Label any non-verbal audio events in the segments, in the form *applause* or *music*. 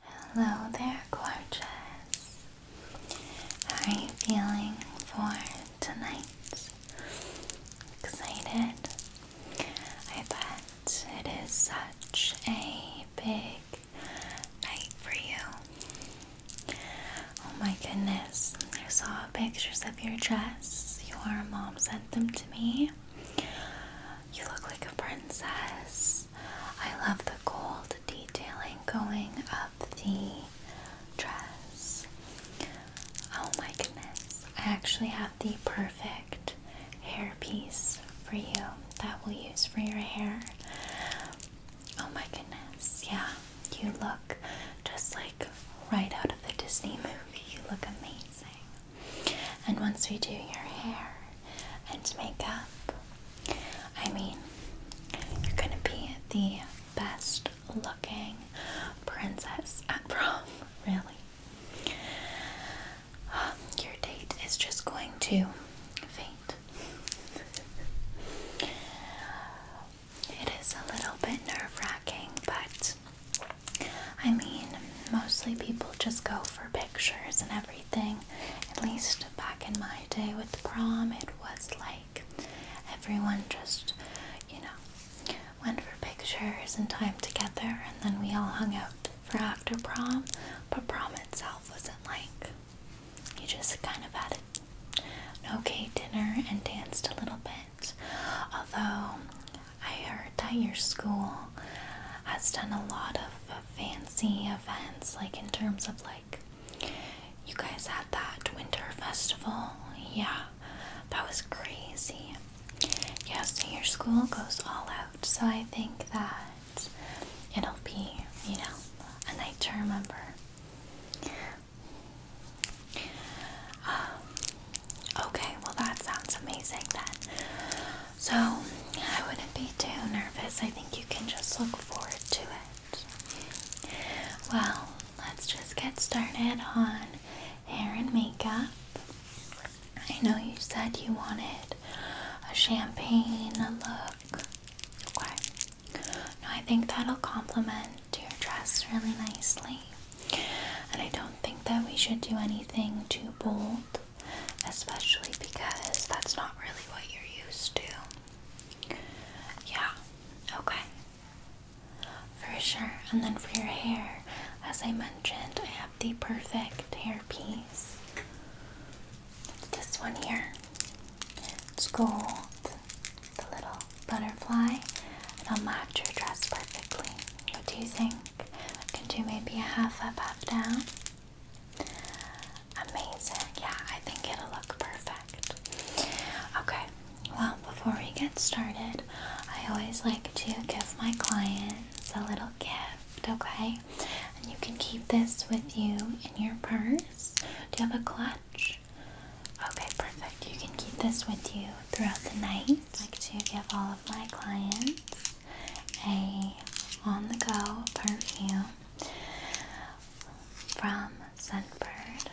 Hello there, gorgeous. How are you feeling for tonight? Excited? I bet it is such a big night for you. Oh my goodness, I saw pictures of your dress. Your mom sent them to me. You look like a princess. I love the gold detailing going up the dress. Oh my goodness. I actually have the perfect hair piece for you that we'll use for your hair. Oh my goodness. Yeah, you look just like right out of the Disney movie. You look amazing. And once we do your hair and makeup, I mean, you're gonna be the best looking princess at prom, *laughs* really. *sighs* your date is just going to faint. *laughs* It is a little bit nerve wracking, but I mean, mostly people just go for pictures and everything thing. At least back in my day with prom, it was like everyone just, you know, went for pictures and time together, and then we all hung out for after prom. But prom itself wasn't like you just kind of had an okay dinner and danced a little bit. Although I heard that your school has done a lot of uh, fancy events, like in terms of like you guys had that winter festival. Yeah, that was crazy. Yeah, so your school goes all out, so I think that it'll be, you know, a night to remember. Um, okay, well, that sounds amazing then. So I wouldn't be too nervous. I think you can just look forward to it. Well, let's just get started on hair and makeup. I know you said you wanted a champagne look. No, I think that'll complement your dress really nicely. And I don't think that we should do anything too bold especially because that's not really what you're used to. Yeah, okay. For sure. And then for your hair, as I mentioned, I have the perfect hair piece. It's this one here. It's gold, the little butterfly. It'll match your dress perfectly. What do you think? I can do maybe a half up, half down. Amazing. Yeah, I think it'll look perfect. Okay, well, before we get started, I always like to give my clients a little gift, okay? And you can keep this with you in your purse. Do you have a clutch? Okay, perfect. You can keep this with you throughout the night. like to give all of my clients a on-the-go perfume from Sunbird.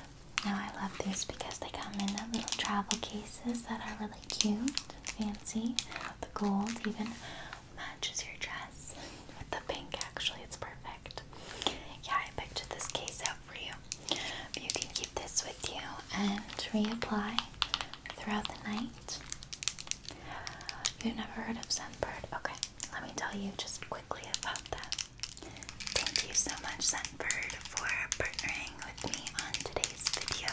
Now I love these because they come in little travel cases that are really cute and fancy. The gold even matches your dress with the pink actually, it's perfect. Yeah, I picked this case out for you. you can keep this with you and reapply throughout the night. You've never heard of Scentbird? Okay, let me tell you just quickly about that. Thank you so much, Scentbird, for partnering with me on today's video.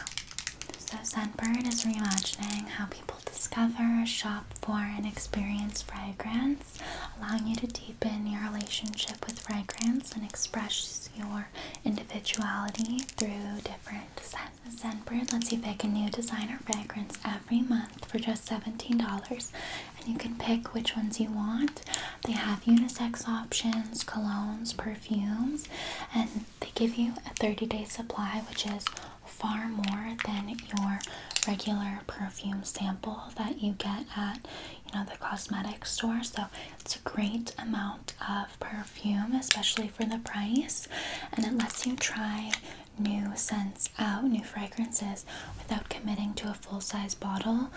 So, Scentbird is reimagining how people discover, shop for, and experience fragrance, allowing you to deepen your relationship with fragrance and express your individuality through different scents. Scentbird lets you pick a new designer fragrance every month for just $17 and you can pick which ones you want. They have unisex options, colognes, perfumes, and they give you a 30-day supply which is far more than your regular perfume sample that you get at you know the cosmetic store so it's a great amount of perfume especially for the price and it lets you try new scents out, new fragrances, without committing to a full size bottle,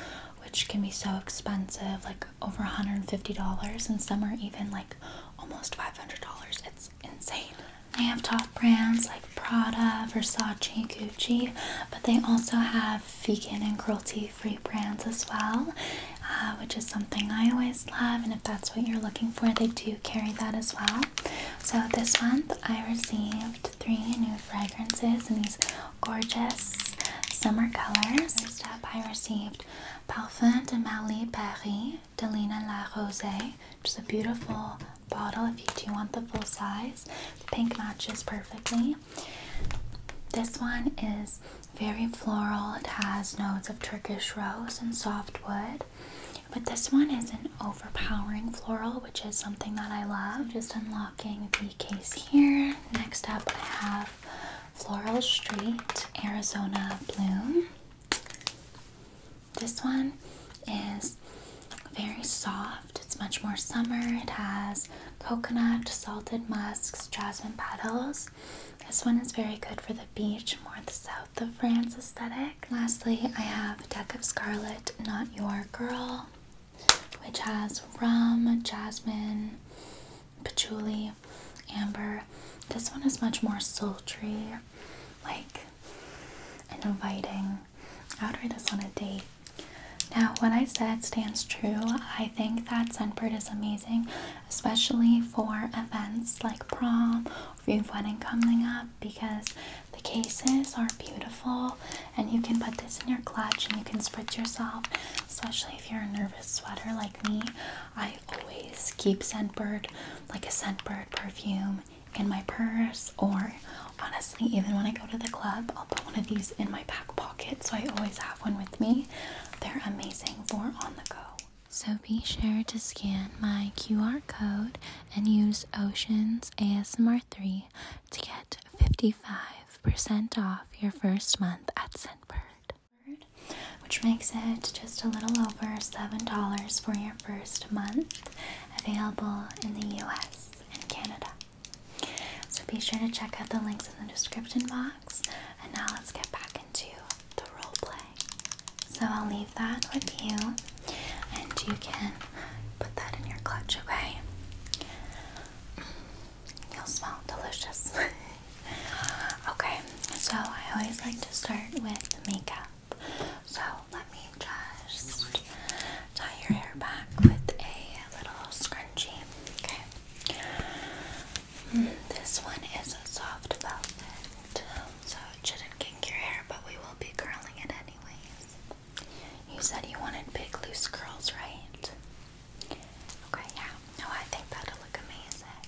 which can be so expensive like over $150, and some are even like almost $500. It's insane. They have top brands like Prada, Versace, Gucci, but they also have vegan and cruelty free brands as well, uh, which is something I always love. And if that's what you're looking for, they do carry that as well. So this month I received three new fragrances in these gorgeous summer colors. First up I received Parfum de Marly Paris Delina La Rose, which is a beautiful bottle if you do want the full size. The pink matches perfectly. This one is very floral. It has notes of Turkish rose and soft wood. But this one is an overpowering floral, which is something that I love. Just unlocking the case here. Next up, I have Floral Street Arizona Bloom. This one is very soft, it's much more summer. It has coconut, salted musks, jasmine petals. This one is very good for the beach, more the south of France aesthetic. Lastly, I have deck of Scarlet, Not Your Girl, which has rum, jasmine, patchouli, amber. This one is much more sultry, like inviting. I would wear this on a date. Now, what I said stands true. I think that Scentbird is amazing, especially for events like prom or if wedding coming up because the cases are beautiful and you can put this in your clutch and you can spritz yourself, especially if you're a nervous sweater like me. I always keep Scentbird, like a Scentbird perfume, in my purse, or honestly, even when I go to the club, I'll put one of these in my back pocket so I always have one with me. They're amazing for on the go. So be sure to scan my QR code and use Oceans ASMR3 to get 55% off your first month at Scentbird, which makes it just a little over $7 for your first month, available in the US and Canada. So be sure to check out the links in the description box, and now let's get back into the roleplay. So I'll leave that with you and you can put that in your clutch, okay? You'll smell delicious. *laughs* okay, so I always like to start with makeup. So let me just tie your hair back with a little scrunchie. Okay. Mm, this one is a soft velvet. Um, so it shouldn't kink your hair, but we will be curling it anyways. You said you wanted big loose curls, right? Okay, yeah. No, I think that'll look amazing.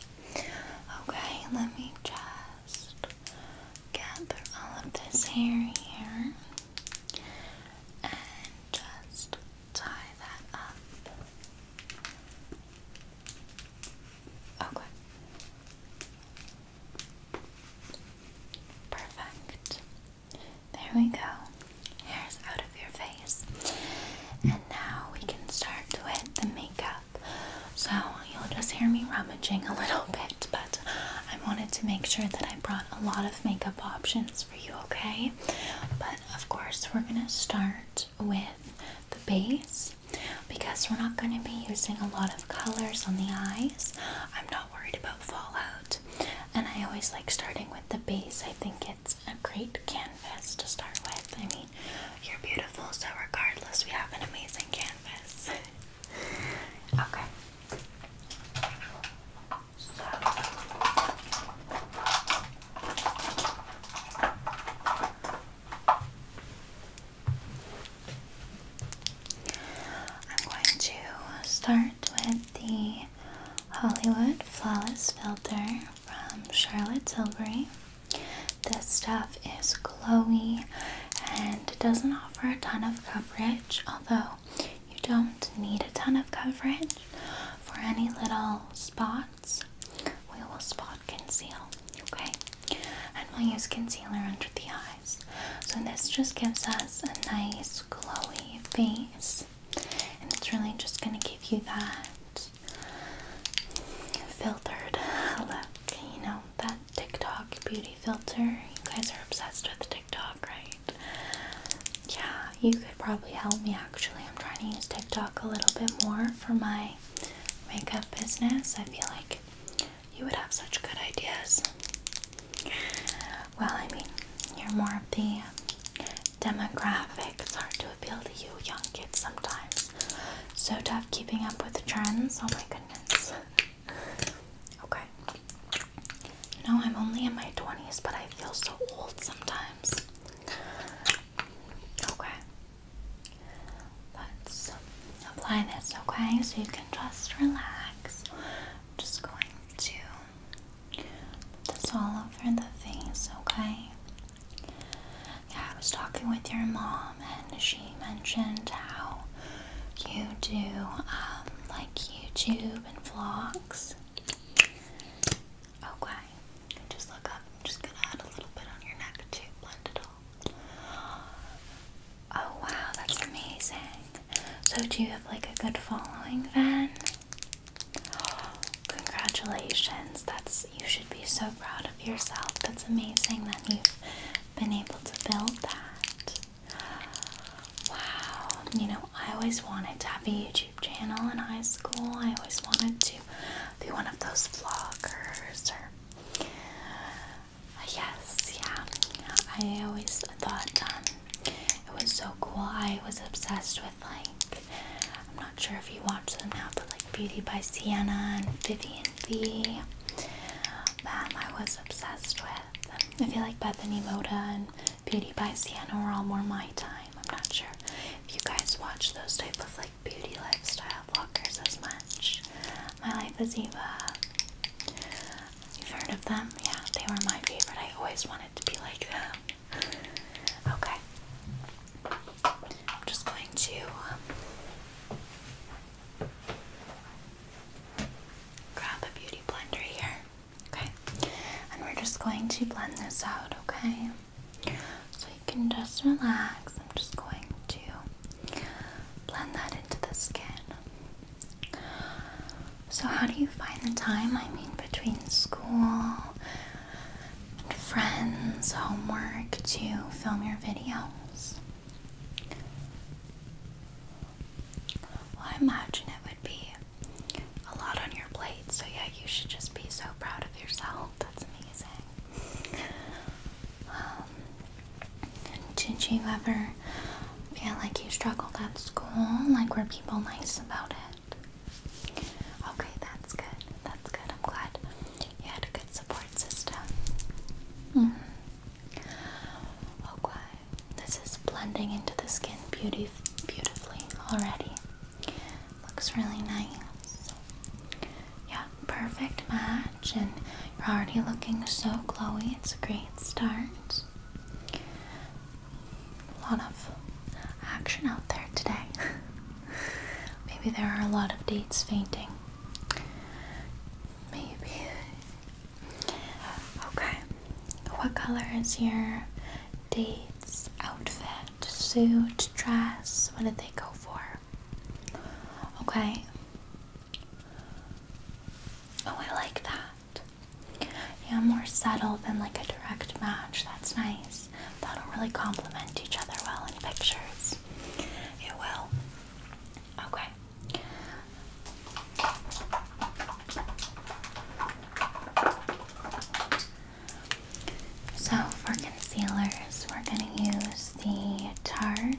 Okay, let me just gather all of this hair here and just tie that up. Okay. Perfect. There we go. Hair's out of your face. And now we can start with the makeup. So you'll just hear me rummaging a little *laughs* bit, but I wanted to make sure that I brought a lot of makeup options for you, okay? But of course, we're gonna start with the base because we're not going to be using a lot of colors on the eyes. I'm not worried about fallout, and I always like starting with the base. I think it's a great canvas to start with. I mean, you're beautiful, so regardless, we have an amazing canvas. *laughs* okay. I'm going to start with the Hollywood Flawless Filter from Charlotte Tilbury. This stuff is glowy and doesn't offer a ton of coverage, although you don't need a ton of coverage for any little spots. We will spot conceal, okay? And we'll use concealer under the eye. So this just gives us a nice glowy face. And it's really just going to give you that filtered look, you know, that TikTok beauty filter. You guys are obsessed with TikTok, right? Yeah, you could probably help me actually. I'm trying to use TikTok a little bit more for my makeup business. I feel like you would have such good ideas. Well, I mean, you're more of the demographic. It's hard to appeal to you young kids sometimes. So tough keeping up with trends. Oh my goodness. *laughs* Okay. You I'm only in my 20s, but I feel so old sometimes. Okay. Let's apply this, okay? So you can just relax. just going to put this all over the face, okay? Yeah, I was talking with your mom, and she mentioned how you do um, like YouTube and vlogs. Okay, just look up. just gonna add a little bit on your neck to blend it Oh wow, that's amazing. So do you have like a good following then? Congratulations. That's you should be so proud of yourself. That's amazing that you've been able to build that. Wow. You know, I always wanted to have a YouTube channel in high school. I always wanted to be one of those vloggers or Yes, yeah. I always thought um, it was so cool. I was obsessed with like, I'm not sure if you watch them now, but like Beauty by Sienna and Vivian V. That I was obsessed with. I feel like Bethany Moda and Beauty by Sienna were all more my time. I'm not sure if you guys watch those type of like beauty lifestyle vloggers as much. My Life is Eva. You've heard of them? Yeah, they were my favorite. I always wanted to be like them. Okay. I'm just going to um, grab a beauty blender here. Okay. And we're just going to blend this out, okay? So you can just relax. I'm just going to blend that into the skin. So, how do you find the time? I mean, between school, friends, homework to film your videos? Well, I imagine it would be a lot on your plate, so yeah, you should just be so proud of yourself. That's amazing. Um, did you ever feel like you struggled at school? Like, were people nice about it? Okay, that's good. That's good. I'm glad you had a good support system. Mm-hmm. Okay, oh, this is blending into the skin beautifully already. Looks really nice. Yeah, perfect match and you're already looking so glowy. It's a great start. A lot of action out there today. *laughs* Maybe there are a lot of dates fainting. Maybe. Okay. What color is your date's outfit? Suit, dress? What did they go for? Okay. Oh, I like that. Yeah, more subtle than like a direct match. That's nice. That'll really complement each other well in pictures. It will. Okay. So for concealers, we're going to use the Tarte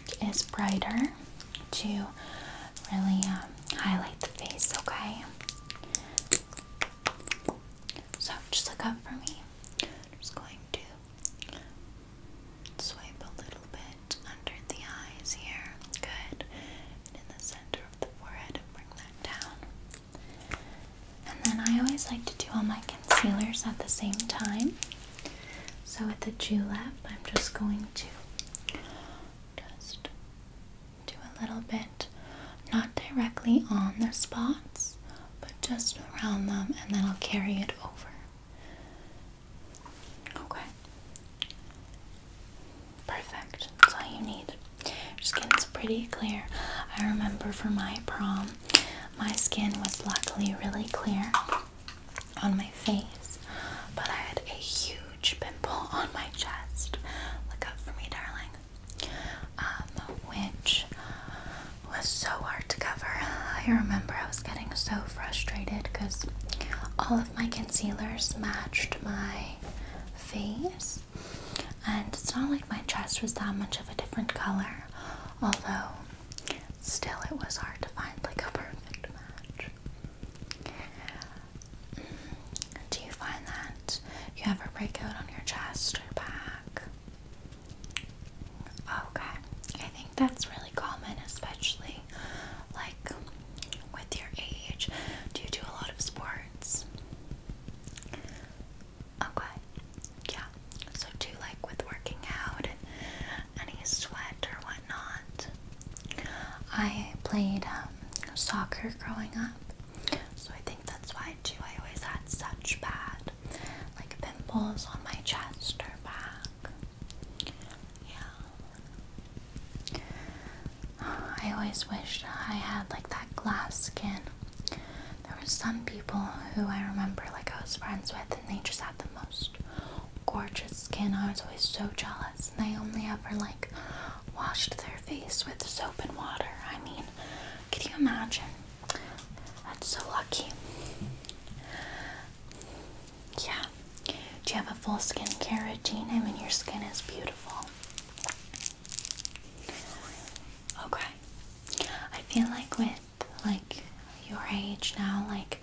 is brighter to really um, highlight the face, okay? So just look up for me. I'm just going to swipe a little bit under the eyes here. Good. And in the center of the forehead and bring that down. And then I always like to do all my concealers at the same time. So with the julep, I'm just going to just do a little bit, not directly on the spots, but just around them, and then I'll carry it over. Okay. Perfect. That's all you need. Your skin's pretty clear. I remember for my prom, my skin was luckily really clear on my face, but I had a huge pimple on my chest. Look up for me, darling. Um, which was so hard to cover. I remember I was getting so frustrated because all of my concealers matched my face, and it's not like my chest was that much of a different color, although still it was hard to find like a perfect match. Mm, do you find that you have a breakout on your chest or back? Okay, I think that's really common, especially like with your age. Do you do a lot of sports? Okay, yeah. So do like with working out any sweat or whatnot. I played um, soccer growing up, so I think that's why too. I always had such bad, like pimples on my chest or back. Yeah. I always wished I had like that glass skin. There were some people who I remember like I was friends with than they just had the most gorgeous skin. I was always so jealous, and they only ever like washed their face with soap and water. I mean, could you imagine? That's so lucky. Yeah. Do you have a full skincare routine? I mean, your skin is beautiful. Okay. I feel like with like your age now, like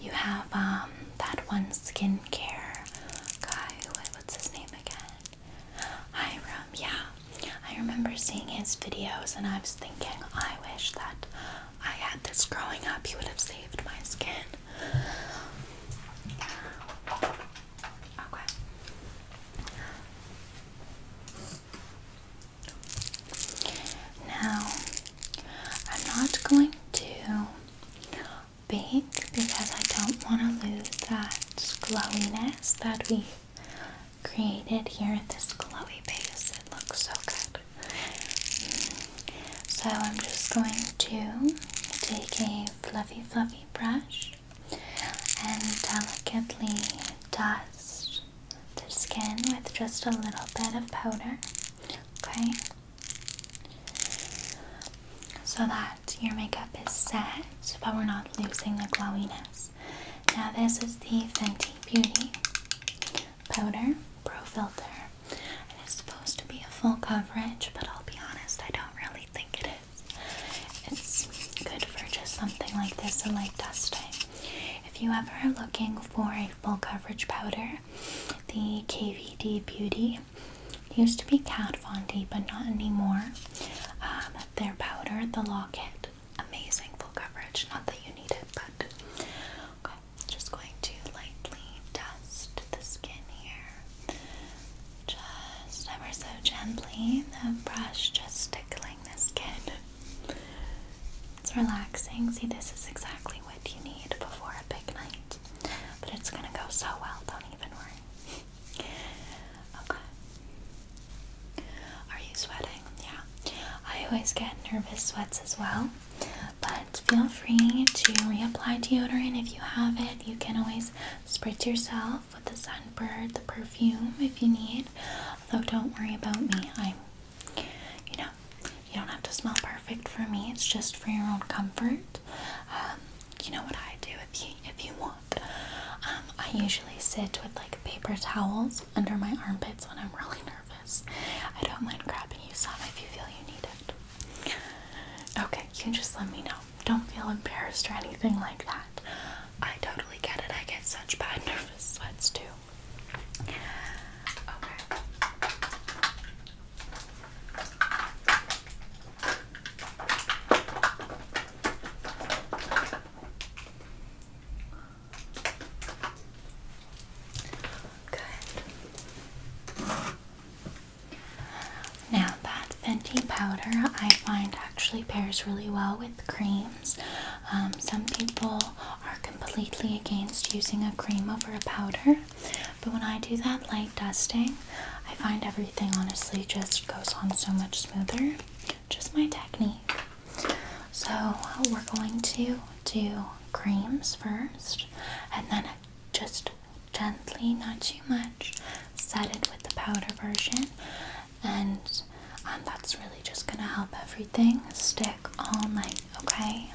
you have um that one skincare guy. what's his name again? Hiram. Yeah, I remember seeing his videos, and I was thinking, I wish that I had this growing up. He would have saved my skin. Okay. Now, I'm not going to bake because I don't want to lose that glowiness that we created here at this glowy base. It looks so good. So I'm just going to take a fluffy fluffy brush and delicately dust the skin with just a little bit of powder, okay? So that your makeup is set, but we're not losing the glowiness. Now, this is the Fenty Beauty Powder Pro Filter. And it's supposed to be a full coverage, but I'll be honest, I don't really think it is. It's good for just something like this, a light dusting. If you ever are looking for a full coverage powder, the KVD Beauty used to be Kat Von D, but not anymore. Um, their powder, the Locket, amazing full coverage. Not that you need it, but Just going to lightly dust the skin here, just ever so gently. The brush just tickling the skin. It's relaxing. See, this is exactly what you need before a big night. But it's gonna go so well, don't even worry. *laughs* okay. Are you sweating? Yeah. I always get nervous sweats as well. But feel free to reapply deodorant if you have it. You can always spritz yourself with the sunbird, the perfume if you need. Although, don't worry about me. I'm you know, you don't have to smell perfect for me. It's just for your own comfort. Um, you know what I do if you if you want. Um, I usually sit with like paper towels under my armpits when I'm really nervous. I don't mind grabbing you some if you feel you need it. Okay, you can just let me know. Don't feel embarrassed or anything like that. I totally get it. I get such bad *laughs* nervous sweats too. Good. Now that Fenty powder I find actually pairs really well with creams. Um, some people are completely against using a cream over a powder, but when I do that light dusting, I find everything honestly just goes on so much smoother. Just my technique. So, we're going to do creams first and then just gently, not too much, set it with the powder version, and um, that's really just gonna help everything stick all night Okay,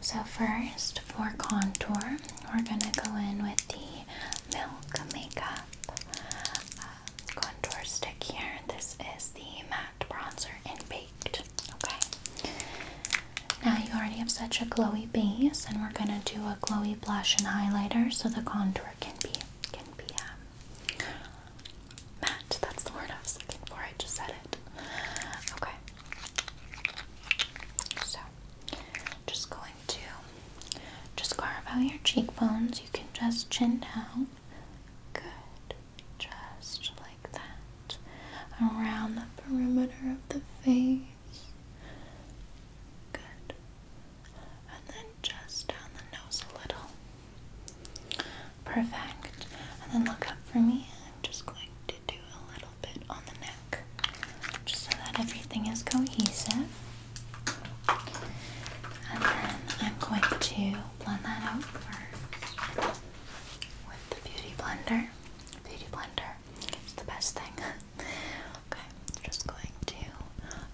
so first for contour, we're gonna go in with the Milk Makeup uh, contour stick here. This is the matte bronzer and baked. Okay, now you already have such a glowy base, and we're gonna do a glowy blush and highlighter so the contour can be can be um, match. That's the word I was looking for. I just said it. Okay. So, just going to just carve out your cheekbones. You can just chin down. Good. Just like that. Around the perimeter of the face. Good. And then just down the nose a little. Perfect. And then look up for me. I'm just going to do a little bit on the neck just so that everything is cohesive. And then I'm going to blend that out first with the beauty blender. Beauty blender It's the best thing. *laughs* okay, just going to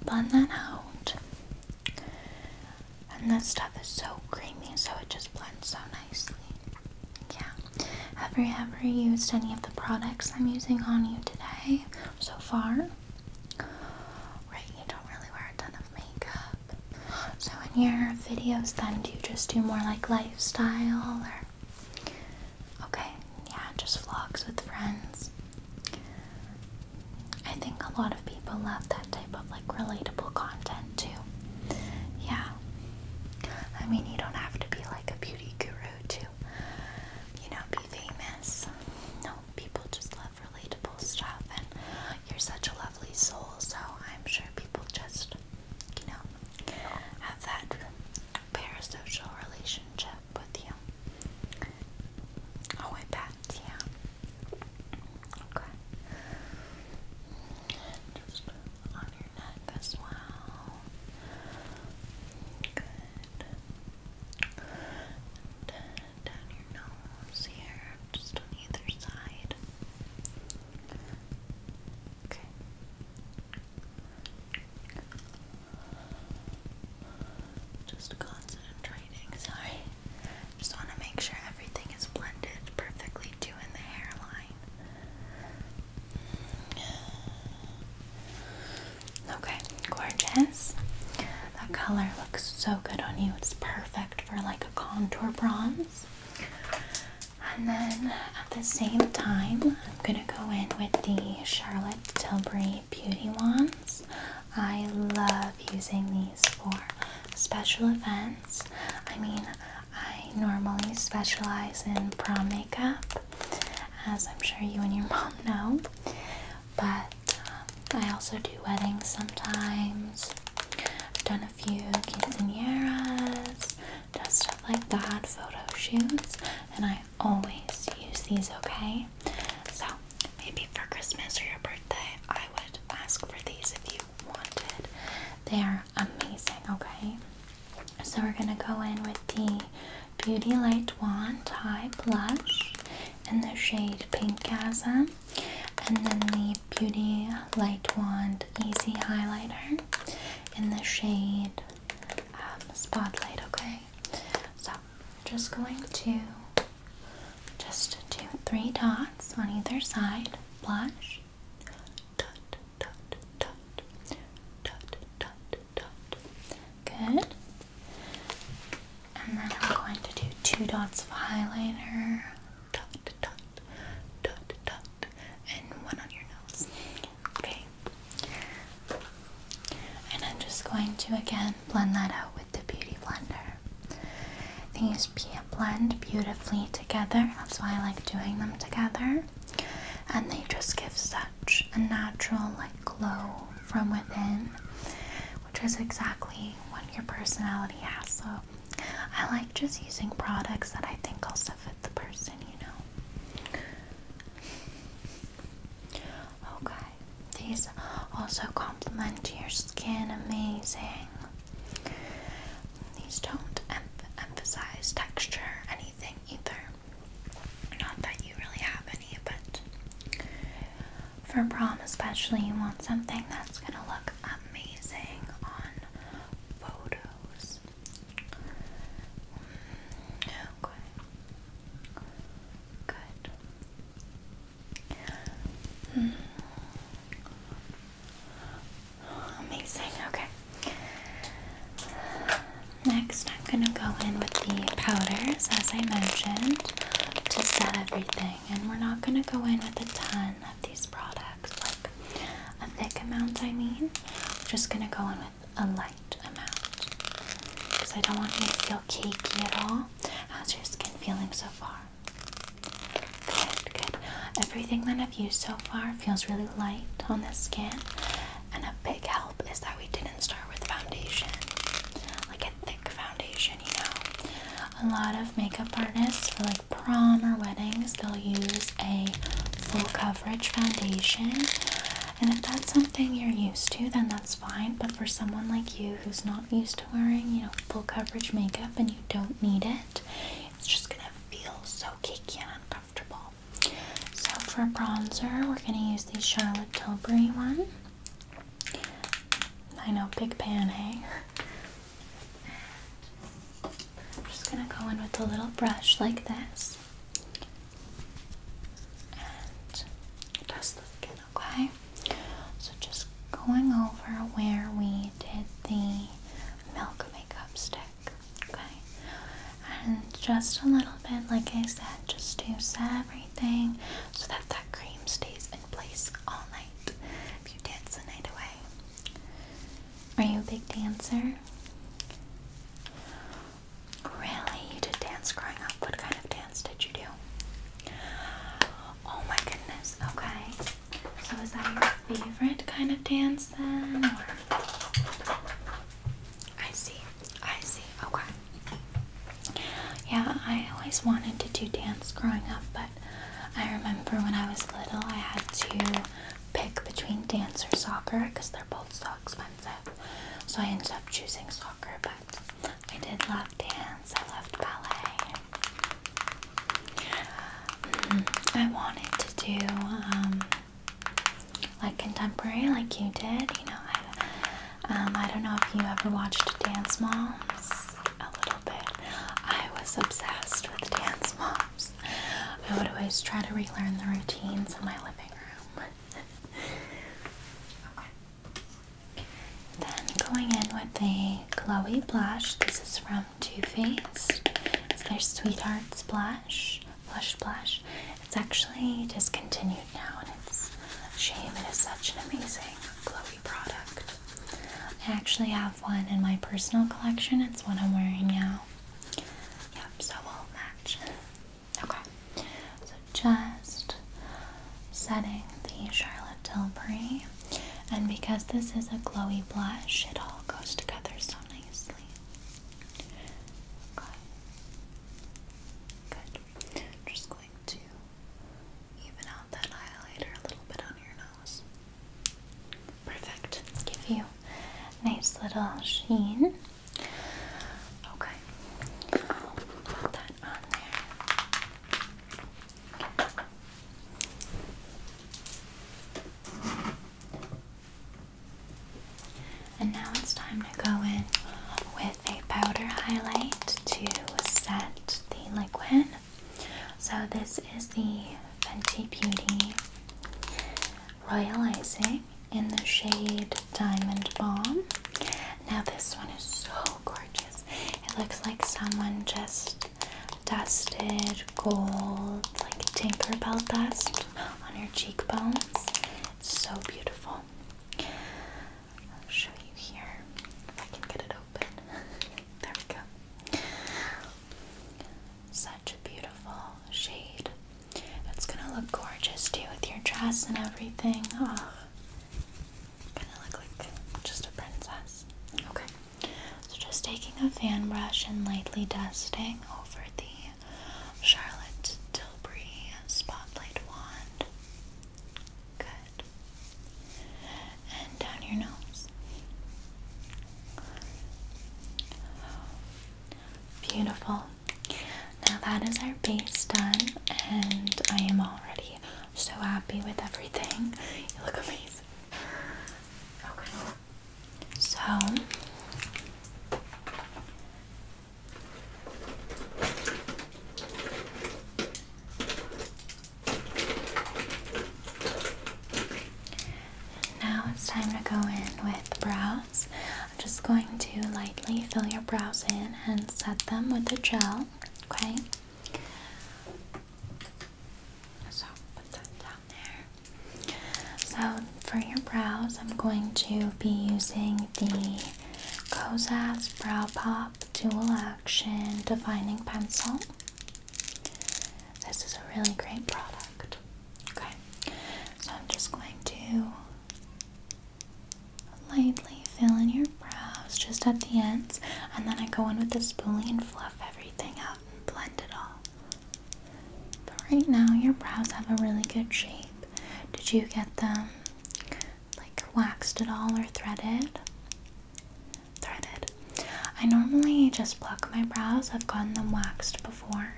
blend that out. And this stuff is so creamy, so it just blends so nicely. Yeah. Have you ever used any of the products I'm using on you today so far? Right, you don't really wear a ton of makeup. So in your videos then do you just do more like lifestyle or okay, yeah, just vlogs with friends. I think a lot of people love that that type of like relatable content too. Yeah. I mean, you don't have to be like a beauty guru to, you know, be famous. No, people just love relatable stuff, and you're such a lovely soul, so I'm sure people just, you know, have that parasocial relationship with you. Oh, I bet, yeah. Okay. And just on your neck as well. Good. down your nose here, just on either side. Okay. Just concentrating, sorry. Just want to make sure everything is blended perfectly doing the hairline. Okay, gorgeous. That color looks so good on you. It's perfect for like a contour bronze. And then at the same time, I'm gonna go in with the Charlotte Tilbury Beauty Wands. I love using these for special events. I mean, I normally specialize in prom makeup, as I'm sure you and your *laughs* mom know, but um, I also do weddings sometimes. I've done a few quinceañeras, done stuff like that, photo shoots, and I always use these, okay? So, maybe for Christmas or your birthday, I would ask for these if you they are amazing, okay? So we're gonna go in with the Beauty Light Wand High Blush in the shade Pink Pinkgasm and then the Beauty Light Wand Easy Highlighter in the shade um, Spotlight, okay? So just going to just do three dots on either side, blush, Good. And then I'm going to do two dots of highlighter. and one on your nose. Okay. And I'm just going to again blend that out with the Beauty Blender. I blend beautifully together. That's why I like doing them together. And they just give such a natural like glow from within, which is exactly what your personality has. So I like just using products that I think also fit the person, you know. Okay. These also complement your skin amazing. These don't emphasize texture anything either. Not that you really have any, but for prom especially, you want something that's going to look amazing on photos. Mm, okay. Good. Hmm. Amazing, okay. Next, I'm gonna go in with the powders, as I mentioned, to set everything. And we're not gonna go in with a ton of these products, like a thick amount, I mean. We're just gonna go in with a light amount. Because I don't want you to feel cakey at all. How's your skin feeling so far? Good, good. Everything that I've used so far feels really light on the skin, and a big help is that we didn't start with foundation, like a thick foundation, you know. A lot of makeup artists for like prom or weddings, they'll use a full coverage foundation. And if that's something you're used to, then that's fine. But for someone like you who's not used to wearing, you know, full coverage makeup and you don't need it, it's just gonna feel so cakey and uncomfortable. So for bronzer, we're gonna use the Charlotte Tilbury one. I know, big pan, hey. Eh? I'm just gonna go in with a little brush like this and dust the skin, okay? So just going over where we did the milk makeup stick. Okay, and just a little bit, like I said, just to set everything so that that cream stays in place all night. If you dance the night away, are you a big dancer? Really, you did dance growing up. What kind of dance did you do? Oh my goodness. Okay. So is that your favorite kind of dance then? Or? I see. I see. Okay. Yeah, I always wanted to do dance growing up, but I remember when I was little, I had to pick between dance or soccer because they're both so expensive. So I ended up choosing soccer, but I did love dance. I loved ballet. Mm, I wanted to do um, like contemporary, like you did. You know, um, I, don't know if you ever watched Dance Moms a little bit. I was obsessed with Dance Moms. I would always try to relearn the routines in my living room. *laughs* Then going in with the glowy blush. This is from too Faced. It's their Sweetheart Splash, Blush blush. It's actually discontinued now, and it's a shame. It is such an amazing glowy product. I actually have one in my personal collection. It's one I'm wearing now. Yep, so we'll match. Okay, so just setting the Charlotte Tilbury and because this is a glowy blush, it all goes together so nicely. Okay. Good. just going to even out that highlighter a little bit on your nose. Perfect. Give you a nice little sheen. Okay. put that on there. And now it's time to go in with a powder highlight to set the liquid. So this is the Fenty Beauty Royalizing in the shade Diamond Bomb. Now this one is so gorgeous. It looks like someone just dusted gold, like Tinkerbell dust on your cheekbones. It's so beautiful. I'll show you here if I can get it open. *laughs* there we go. Such a beautiful shade. It's gonna look gorgeous too with your dress and everything. Oh, gonna look like just a princess. Okay. So, just taking a fan brush and lightly dusting over the Charlotte Tilbury Spotlight Wand. Good. And down your nose. Beautiful. Now that is our base done, and I am already so happy with everything. You look amazing. Okay. So now it's time to go in with brows. I'm just going to lightly fill your brows in and set them with a gel, okay? So put that down there. So for your brows, I'm going to be using the Kozas Brow Pop Dual Action Defining Pencil. This is a really great product. Okay, so I'm just going to lightly fill in your brows just at the ends, and then I go in with the spoolie and fluff everything out and blend it all. But right now, your brows have a really good shape. Did you get them like waxed at all or threaded? Threaded. I normally just pluck my brows. I've gotten them waxed before,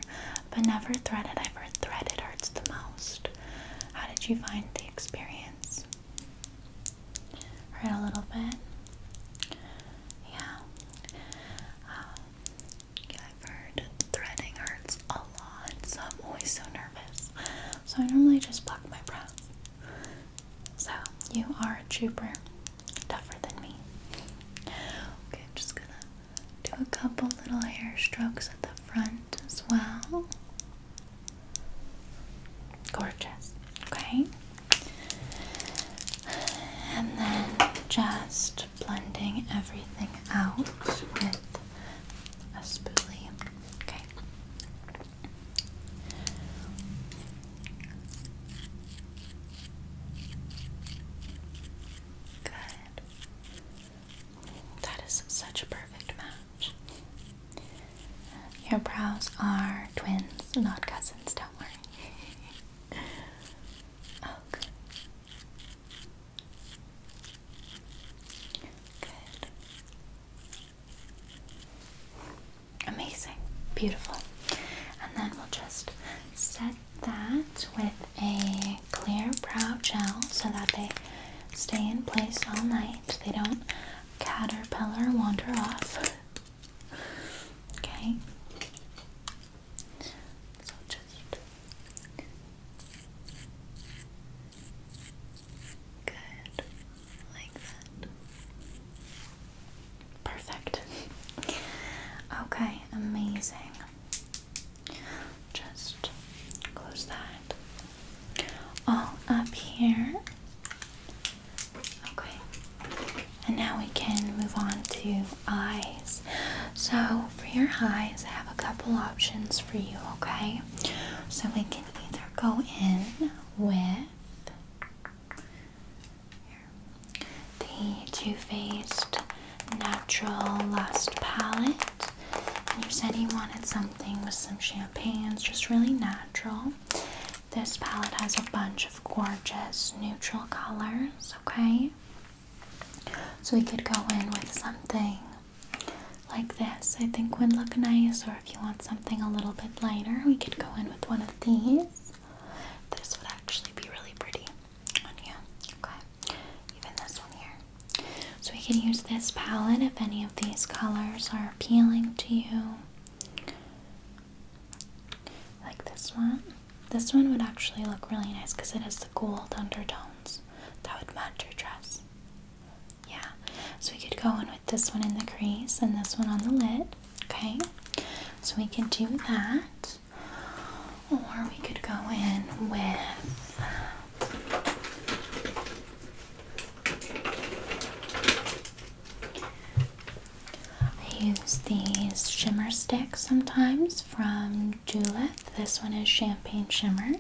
but never threaded. I've heard threaded hurts the most. How did you find the experience? Hurt a little bit. Yeah. Um, I've heard threading hurts a lot, so I'm always so nervous. So I normally just block my breath. So you are a trooper, tougher than me. Okay, just gonna do a couple little hair strokes at the front as well. Gorgeous. Okay. And then just blending everything out with a spoolie. Okay. Good. That is such a perfect match. Your brows are twins, not cousins, don't worry. *laughs* Oh, Good. Amazing. Beautiful. And then we'll just set that with a clear brow gel so that they stay in place all night. They don't caterpillar wander off. Okay. So just good like that. Perfect. okay, amazing. Just close that all up here. Okay, and now we can move on to eyes. So, for your eyes, I have a couple options for you, okay? So, we can either go in with the Too Faced Natural Lust Palette. And you said you wanted something with some champagnes, just really natural. This palette has a bunch of gorgeous neutral colors, okay? So we could go in with something like this, I think would look nice, or if you want something a little bit lighter, we could go in with one of these. This would actually be really pretty on you, okay? Even this one here. So we could use this palette if any of these colors are appealing to you like this one. This one would actually look really nice because it has the gold undertones that would match your dress. Yeah, so we could go in with this one in the crease and this one on the lid. Okay, so we can do that, or we could go in with. I use these shimmer sticks sometimes from Juleth. This one is Champagne Shimmer,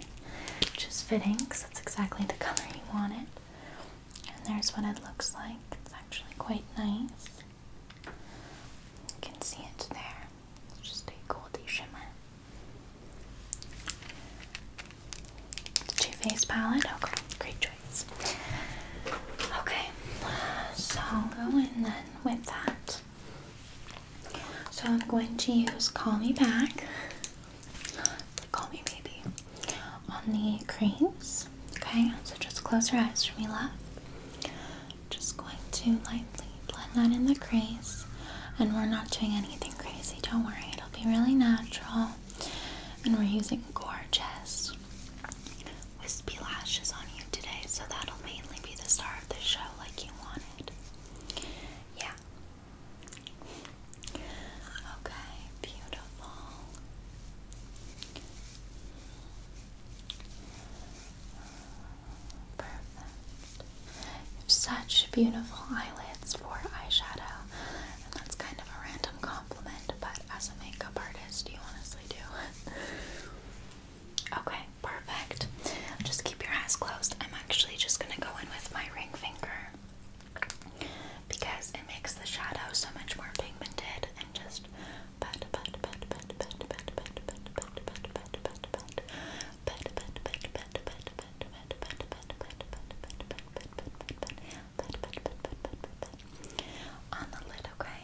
which is fitting because it's exactly the color you want it. And there's what it looks like. It's actually quite nice. You can see it there. It's just a goldy shimmer. The Too Faced palette. Okay, oh, great choice. Okay, so I'll go in then with that. So I'm going to use Call Me Back, Call Me Baby, on the creams. Okay, so just close your eyes for me, love. Just going to lightly blend that in the crease, and we're not doing anything crazy, don't worry, it'll be really natural. And we're using gorgeous wispy lashes on you today, so that'll mainly be the star of the show, like you wanted. Yeah. Okay, beautiful. Perfect. such beautiful eyelids for eyeshadow, and that's kind of a random compliment, but as a makeup artist, you honestly do. *laughs* Okay, perfect. Just keep your eyes closed. I'm actually just gonna go in with my ring finger because it makes the shadow so much more pigmented and just pat pat pat pat pat pat pat pat pat pat pat pat pat on the lid, okay?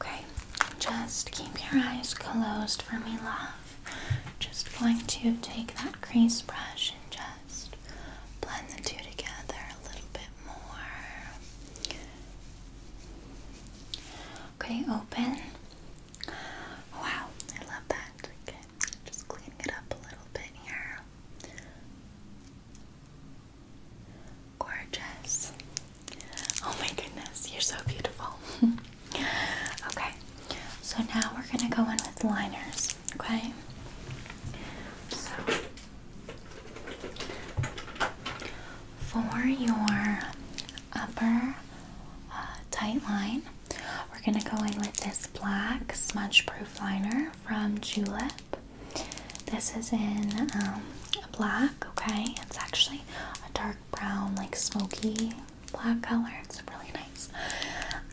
Okay, just keep your eyes closed for me, love. Just going to take that crease brush and just blend the two together a little bit more. Okay, open. Wow, I love that. Okay, just cleaning it up a little bit here. Gorgeous. Oh my goodness, you're so beautiful. *laughs* Okay, so now we're going to go in with liners, okay? So, for your upper uh, tight line, we're going to go in with this black smudge proof liner from Julep. This is in um, black, okay? It's actually a dark brown, like smoky black color. It's really nice.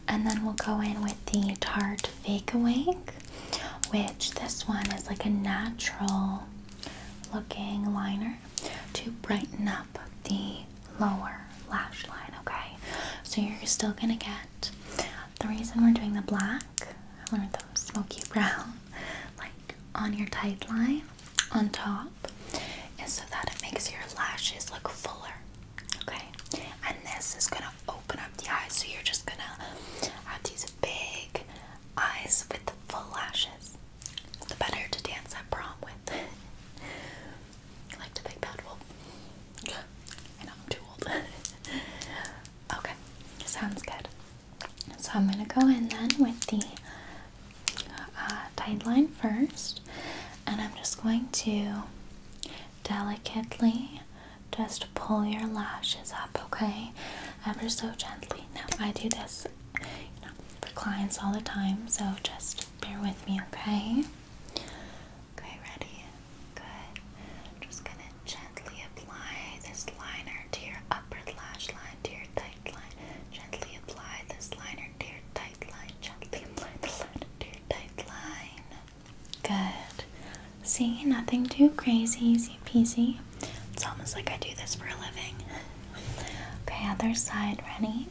And then we'll go in with the Tarte Fake Awake, which this one is like a natural looking liner to brighten up the lower lash line, okay? So you're still gonna get the reason we're doing the black, I the smoky *laughs* brown, like on your tight line on top, is so that it makes your lashes look fuller. Okay, and this is gonna open up the eyes, so you're just gonna have these big eyes with full lashes. It's the better to dance at prom with. I *laughs* like the big bad wolf. I know I'm too old. *laughs* okay, sounds good. So I'm gonna go in then with the uh, tight line first, and I'm just going to delicately just pull your lashes up, okay? Ever so gently. Now, I do this for clients all the time, so just bear with me, okay? Okay, ready? Good. I'm just gonna gently apply this liner to your upper lash line, to your tight line. Gently apply this liner to your tight line. Gently apply the liner to tight line. Good. See, nothing too crazy, easy peasy. It's almost like I do this for a living. *laughs* Okay, other side, ready?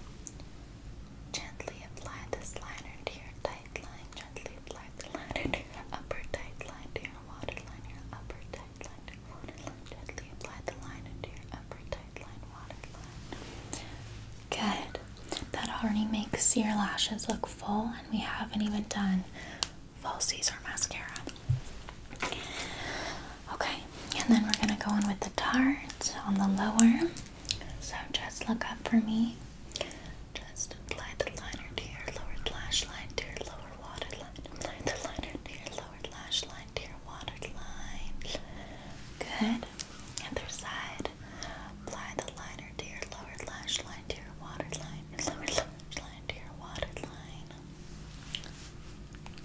Gently apply this liner to your tight line. Gently apply the liner to your upper tight line, to your waterline, your upper tight line, to your waterline. Gently apply the liner to your upper tight Good. That already makes your lashes look full, and we haven't even done falsies or mascara. Okay, and then we're gonna go in with the tarts on the lower. So just look up for me. Just apply the liner to your lower lash line, to your lower water line. Apply the liner to your lower lash line, to your water line. Good. Other side. Apply the liner to your lower lash line to your waterline. Your lower lash line to your waterline.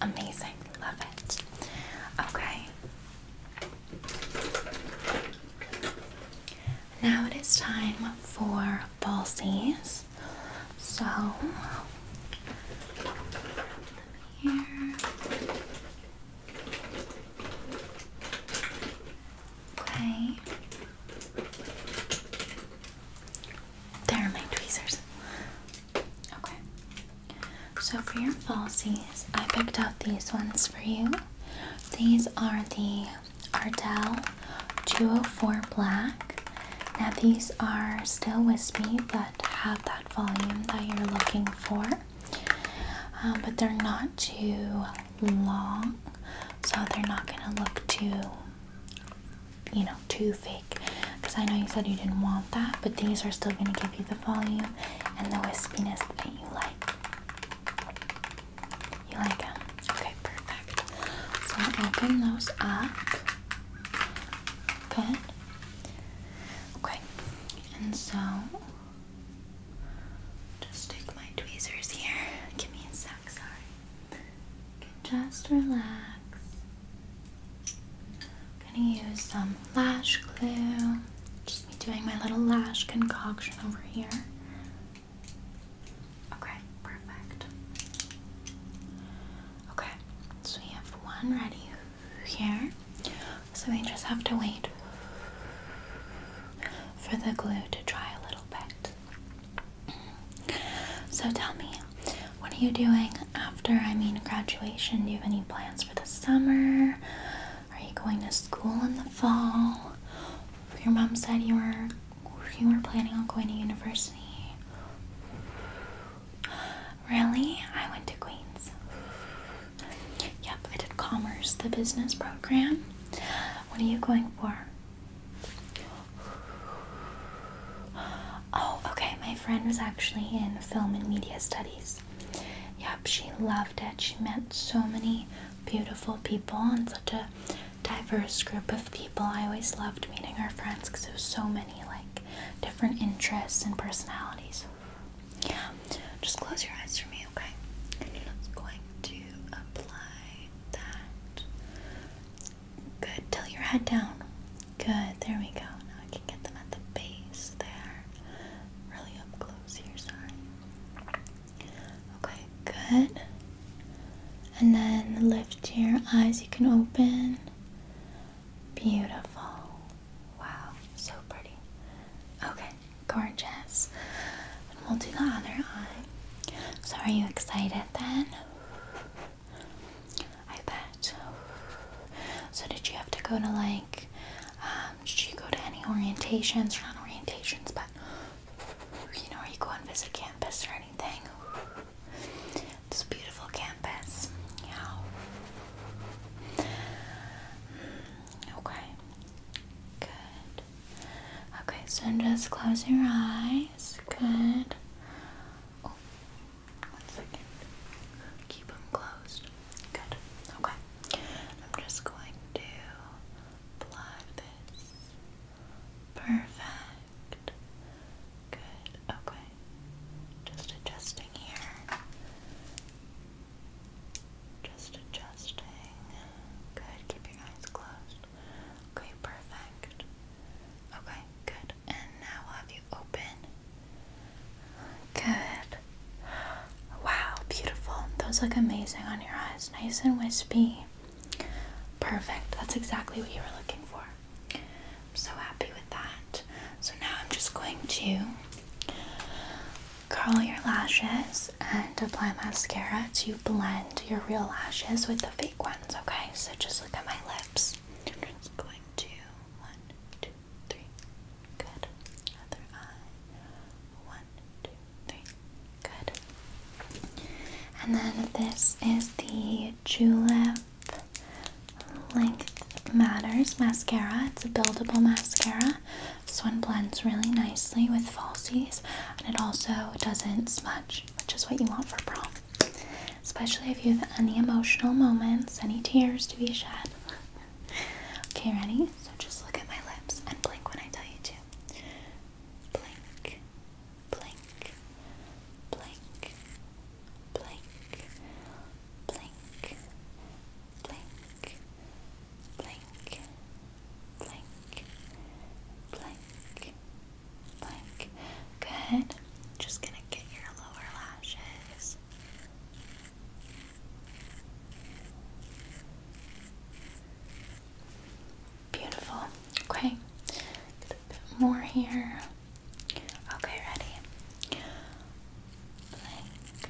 Amazing. Love it. Okay. Now it is time for falsies. So here. Okay. There are my tweezers. Okay. So for your falsies, I picked out these ones for you. These are the Ardell 204 Black. Now these are still wispy but have that volume that you're looking for. Um, but they're not too long, so they're not gonna look too, you know, too fake. Because I know you said you didn't want that, but these are still gonna give you the volume and the wispiness that you like. You like them? Okay, perfect. So open those up. Good. Okay, and so just take my tweezers here. Give me a sec, sorry. just relax. I'm gonna use some lash glue. Just be doing my little lash concoction over here. Okay, perfect. Okay, so we have one ready here. So we just have to wait for the glue to dry a little bit. So tell me, what are you doing after, I mean, graduation? Do you have any plans for the summer? Are you going to school in the fall? Your mom said you were you were planning on going to university. Really? I went to Queens. Yep, I did commerce, the business program. What are you going for? Oh, okay. My friend was actually in film and media studies. Yep, she loved it. She met so many beautiful people and such a diverse group of people. I always loved meeting our friends because there's so many like different interests and personalities. Yeah, just close your eyes for me, okay? I'm going to apply that. Good, till your head down. Good, there we go. Now I can get them at the base there. Really up close here, sorry. Okay, good. And then lift your eyes, you can open. Beautiful. Wow, so pretty. Okay, gorgeous. And we'll do the other eye. So, are you excited then? I bet. So, did you have to go to like, um, did you go to any orientations or not orientations, but you know, where you go and visit campus or anything? This beautiful campus. Yeah. Hmm. Okay. Good. Okay, so just close your eyes. Good. Oh, one second. Keep them closed. Good. Okay. I'm just going to plug this. Perfect. Good. Okay. Just adjusting here. Just adjusting. Good. Keep your eyes closed. Okay, perfect. Okay, good. And now i will have you open. Good. Wow, beautiful. Those look amazing on your eyes. Nice and wispy. Perfect. That's exactly what you were looking for. I'm so happy with that. So now I'm just going to curl your lashes and apply mascara to blend your real lashes with the fake ones, okay? So just look at my lips. i Good. Other eye. One, two, three. Good. And then this is the Julep Length Matters mascara. It's a buildable mascara. This one blends really nicely with falsies and it also doesn't smudge, which is what you want for prom. Especially if you have any emotional moments, any tears to be shed. okay, ready? So just look at my lips and blink when I tell you to. Blink, blink, blink, blink, blink, blink, blink, blink, blink, blink. Good. Just gonna get your lower lashes. Beautiful. Okay. Get a bit more here. Okay, ready. Blink,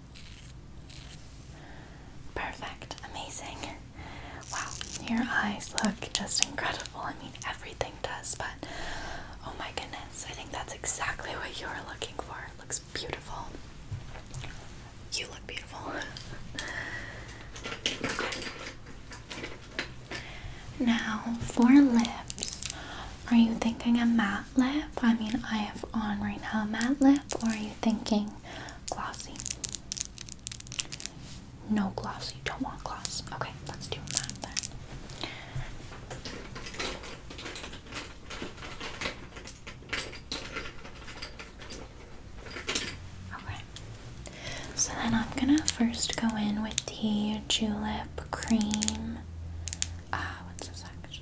Perfect, amazing. Wow, your eyes look just incredible. I mean, everything does, but oh my goodness, I think that's exactly what you are looking for. looks beautiful. You look beautiful. *laughs* Now, for lips, are you thinking a matte lip? I mean, I have on right now a matte lip or are you thinking glossy? No gloss, you don't want gloss. Okay, let's do that then. Okay, so then I'm gonna first go in with the julep cream. Ah, what's this actually?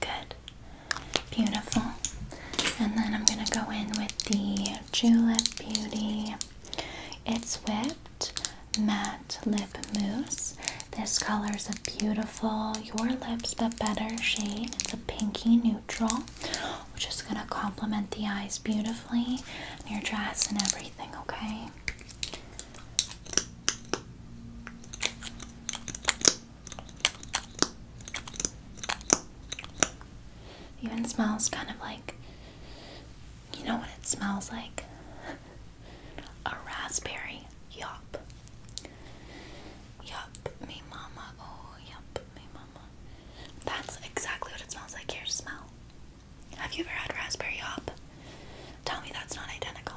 Good. Beautiful. And then I'm going to go in with the Julep Beauty. It's Whipped Matte Lip Mousse. This color is a beautiful Your Lips But Better shade. It's a pinky nude neutral. We're gonna complement the eyes beautifully, your dress and everything, okay? Even smells kind of like you know what it smells like? *laughs* A raspberry. Yup. Yup, me mama. Oh, yup, me mama. That's exactly what it smells like. Here's smell. Have you ever had raspberry hop? Tell me that's not identical.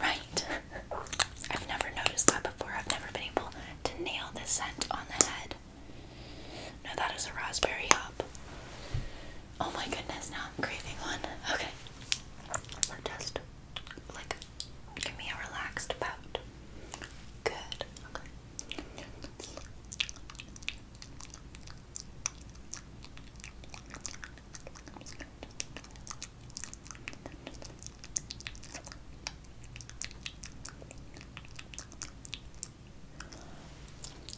Right. *laughs* I've never noticed that before. I've never been able to nail the scent on the head. No, that is a raspberry hop. Oh my goodness, now I'm craving one. Okay. Just like give me a relaxed pout. Good. Okay.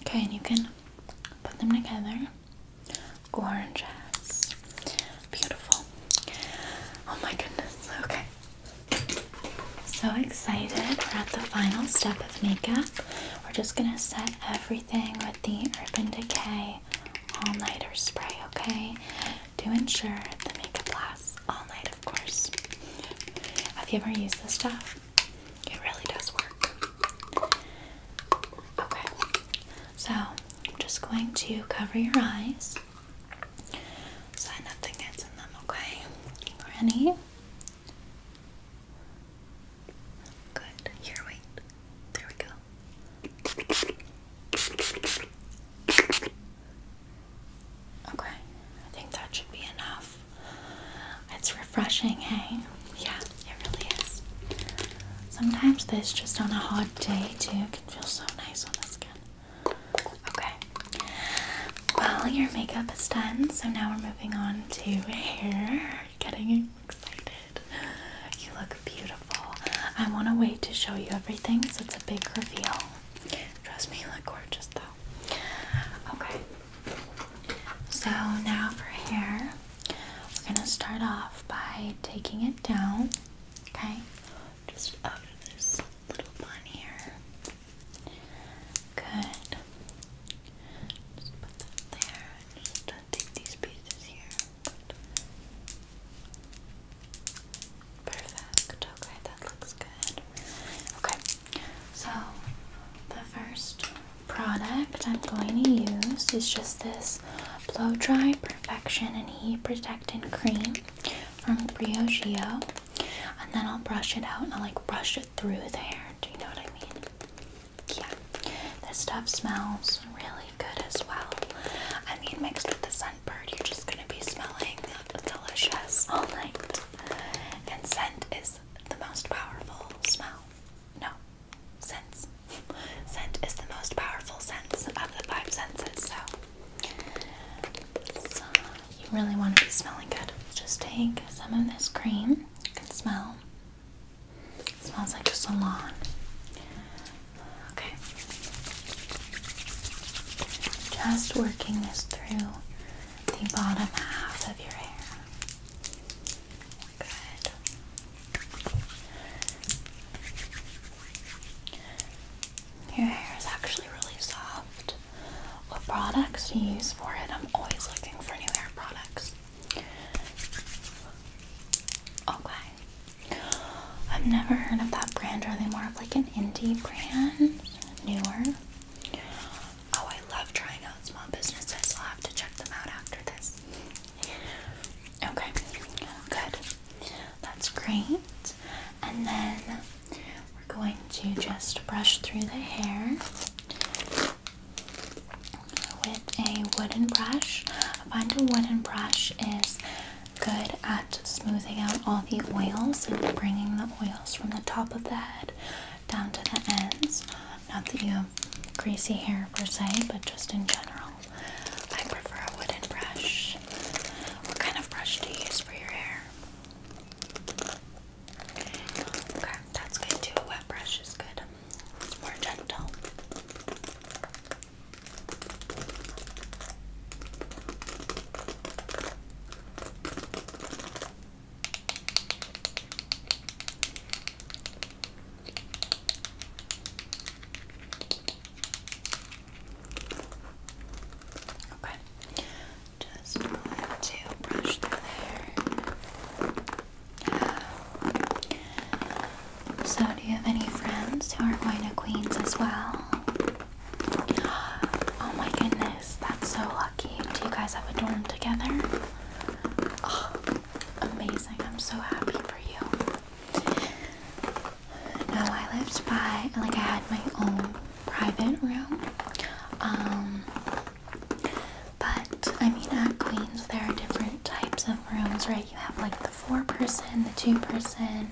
Okay, and you can put them together. Gorgeous. Beautiful. Oh my goodness. Okay. So excited. We're at the final step of makeup. We're just going to set everything with the Urban Decay All Nighter Spray, okay? To ensure the makeup lasts all night, of course. Have you ever used this stuff? It really does work. Okay, so I'm just going to cover your eyes so nothing gets in them, okay? Ready? Good. Here, we go. Okay. I think that should be enough. It's refreshing, hey? Yeah, it really is. Sometimes this just on a hot day too can feel so nice on the skin. Okay. Well, your makeup is done, so now we're moving on to hair. Getting excited. You look beautiful. I want to wait to show you everything, so it's a big reveal. Trust me, you look gorgeous though. Okay. So now for hair, we're gonna start off by taking it down. Okay, just out this little bun here. Good. put that there. just uh, take these pieces here. Perfect. Okay, that looks good. Okay, so the first product I'm going to use is just this Blow Dry Perfection and Heat Protectant Cream from Briogeo. And then I'll brush it out and I'll like brush it through there. Do you know what I mean? Yeah. This stuff smells really good as well. I mean, mixed with the scentbird, you're just gonna be smelling delicious *laughs* all night. And scent is the most powerful smell. No, sense. *laughs* Scent is the most powerful sense of the five senses. So, you really want to be smelling good. Just take some of this cream. You can smell. It smells like just a lot. Okay. Just working this through the bottom half of your hair. Good. Your hair is actually really soft what products to use for it. I'm always looking for new hair products. Okay. I've never heard of that brand. Are they more of like an indie brand? Newer? Oh, I love trying out small businesses. I'll have to check them out after this. Okay, good. That's great. And then we're going to just brush through the hair with a wooden brush. I a wooden brush is good at smoothing out all the oils and bringing the oils from the top of the head down to the ends. Not that you have greasy hair per se, but just in general. I prefer a wooden brush. What kind of brush do you use for your hair? Okay, that's good too. A wet brush is good. It's more gentle. Okay. Just want to brush through there. So, do you have any friends who are going to Queens as well? Oh my goodness, that's so lucky. Do you guys have a dorm together? Oh, amazing. I'm so happy for you. No, I lived by, like, I had my own private room. Um, but I mean, at Queens, there are different types of rooms, right? You have like the four person, the two person,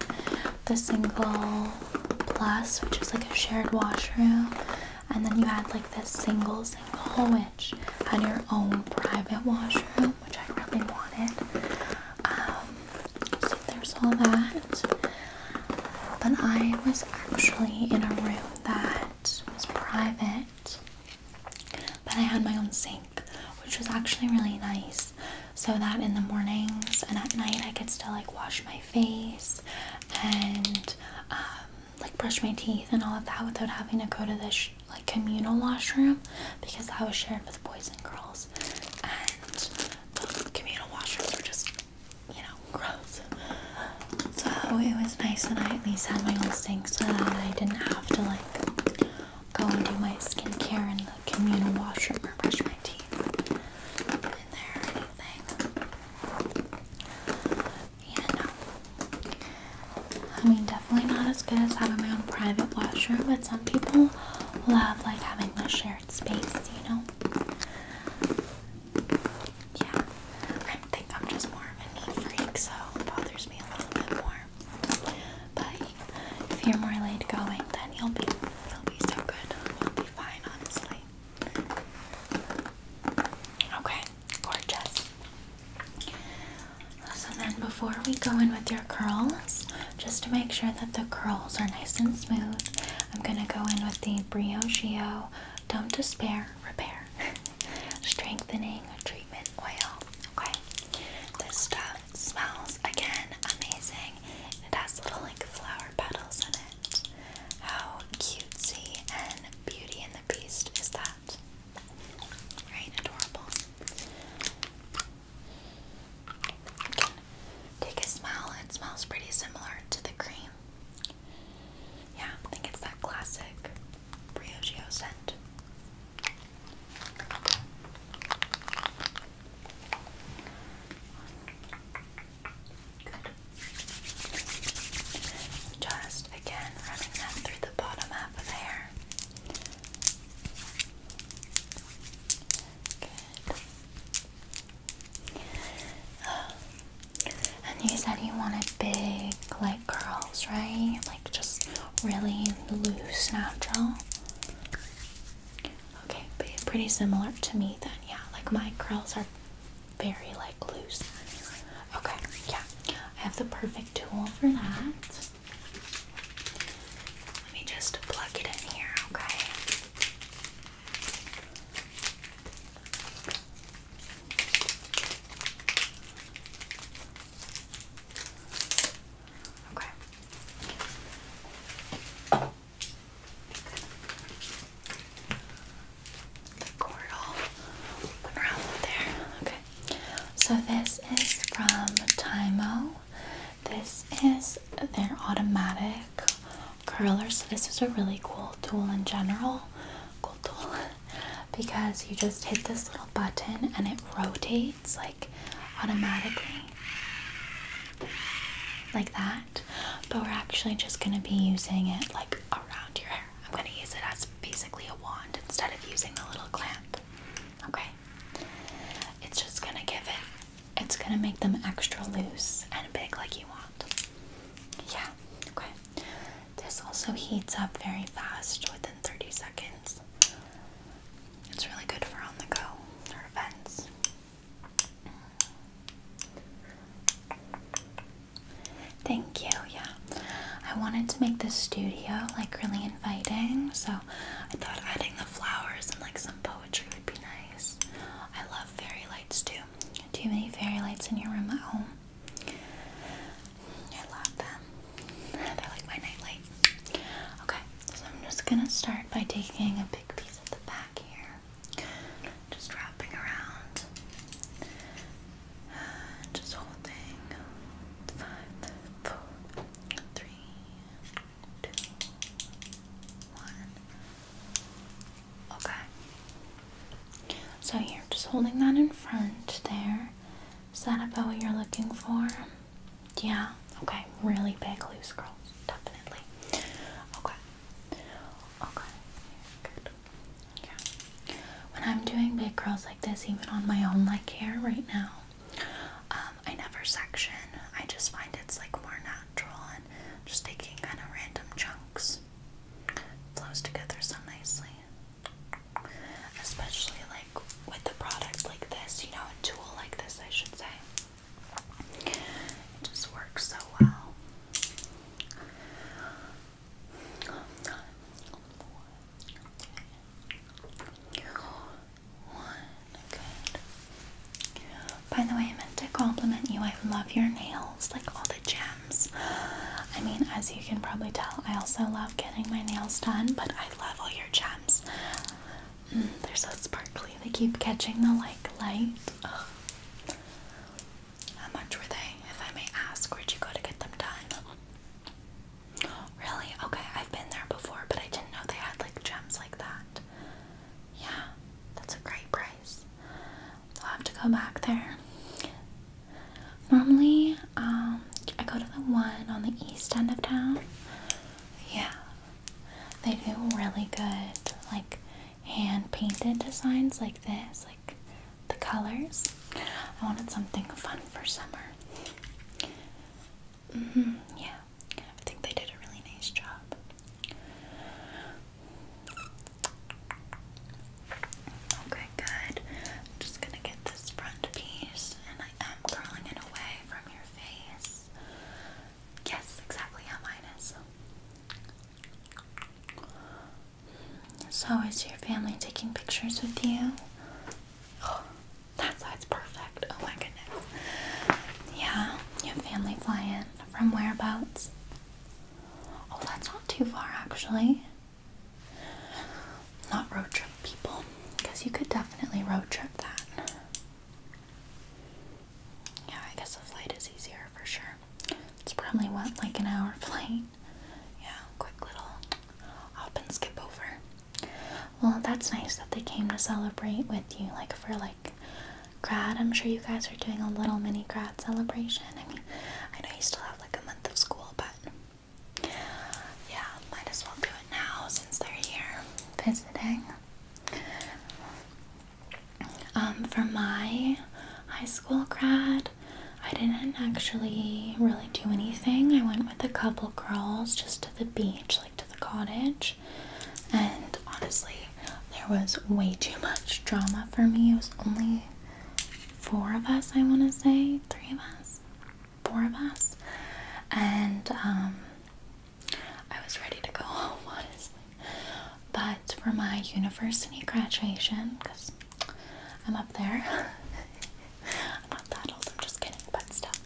the single plus, which is like a shared washroom, and then you have like the single single, which had your own private washroom, which I really wanted. Um, so there's all that but I was actually in a room that was private, but I had my own sink, which was actually really nice. So that in the mornings and at night, I could still like wash my face and um, like brush my teeth and all of that without having to go to this like communal washroom because that was shared with boys and girls, and the communal washrooms were just you know, gross. So it was nice that I at least had my own sink so that I didn't have to like go and do my skincare in the communal washroom or brush my teeth in there or anything. Yeah, no. I mean, definitely not as good as having my own private washroom, but some people love like having the shared space, you know? Yeah, I think I'm just more of a neat freak, so bothers me a little bit more. But if you're more late going, then you'll be, you'll be so good. You'll be fine, honestly. Okay, gorgeous. So then, before we go in with your curls, just to make sure that the curls are nice and smooth, I'm gonna go in with the Briocheo don't despair, repair. *laughs* Strengthening treatment oil. Okay. This stuff smells again amazing. It has little like flower petals in it. How cutesy and beauty and the beast is that? Right? Adorable. Take a smell. It smells pretty similar to the cream. Yeah, I think it's that classic Briogeo scent. Just again running that through the bottom half of the hair. Good. And you said you wanted big, like curls, right? Like just really loose, natural. Okay, pretty similar to me then, yeah. Like my curls are very like loose. Okay, yeah. I have the perfect tool for that. Let me just plug it in here, okay? Okay. Coral went around there. Okay. So this is from Timo. This is their automatic quick curler. So this is a really cool tool in general, cool tool, *laughs* because you just hit this little button and it rotates like automatically, like that. But we're actually just gonna be using it like around your hair. I'm gonna use it as basically a wand instead of using the little clamp. Okay. It's just gonna give it, it's gonna make them extra loose and big like you want. Yeah, okay. This also heats up very fast within 30 seconds. It's really good for on the go or events. Thank you. Yeah. I wanted to make the studio like really inviting, so I thought adding the flowers and like some poetry would be nice. I love very too. Do you have any fairy lights in your room at home? I love them. They're like my nightlight. Okay, so I'm just gonna start by taking a big piece at the back here. Just wrapping around. *sighs* Just whole Five, four, three, two, one. Okay. So you're just holding that in front there. Is that about what you're looking for? Yeah. Okay. Really big loose curls. Definitely. Okay. Okay. Good. Yeah. When I'm doing big curls like this, even on my own like hair right now, um, I never section. I just find it's like more natural and just taking kind of random chunks flows together so nicely. Especially like with a product like this, you know, a tool like this, I should say. It just works so well. One, good. By the way, I meant to compliment you. I love your nails, like all the jazz. I mean, as you can probably tell, I also love getting my nails done, but I love all your gems. Mm, they're so sparkly. They keep catching the like light. How much were they, if I may ask? Where'd you go to get them done? Really? Okay, I've been there before, but I didn't know they had like gems like that. Yeah, that's a great price. I'll have to go back there. Normally, um, I go to the one on the east end of town. Yeah, they do really good, like hand painted designs like this, like the colors. I wanted something fun for summer. Mm-hmm. yeah, I think they did a really nice job. Okay, good. just gonna get this front piece and I am curling it away from your face. Yes, exactly how mine is. So, is your family taking pictures with you? Oh, *gasps* that side's perfect. Oh my goodness. Yeah, you have family flying from whereabouts? Oh, that's not too far actually. Not road trip people, because you could definitely road trip that. Yeah, I guess the flight is easier for sure. It's probably what, like an hour *laughs* flight? Yeah, quick little hop and skip over. Well, that's nice that they came to celebrate with you, like for like grad. I'm sure you guys are doing a little mini grad celebration. I mean, I know you still have like a month of school, but yeah, might as well do it now since they're here visiting. Um, for my high school grad, I didn't actually really do anything. I went with a couple girls just to the beach, like to the cottage, and honestly, there was way too much drama for me. It was only four of us, I want to say, three of us, four of us, and um, I was ready to go *laughs* home, honestly. But for my university graduation, because I'm up there, *laughs* I'm not that old, I'm just kidding, but stuff.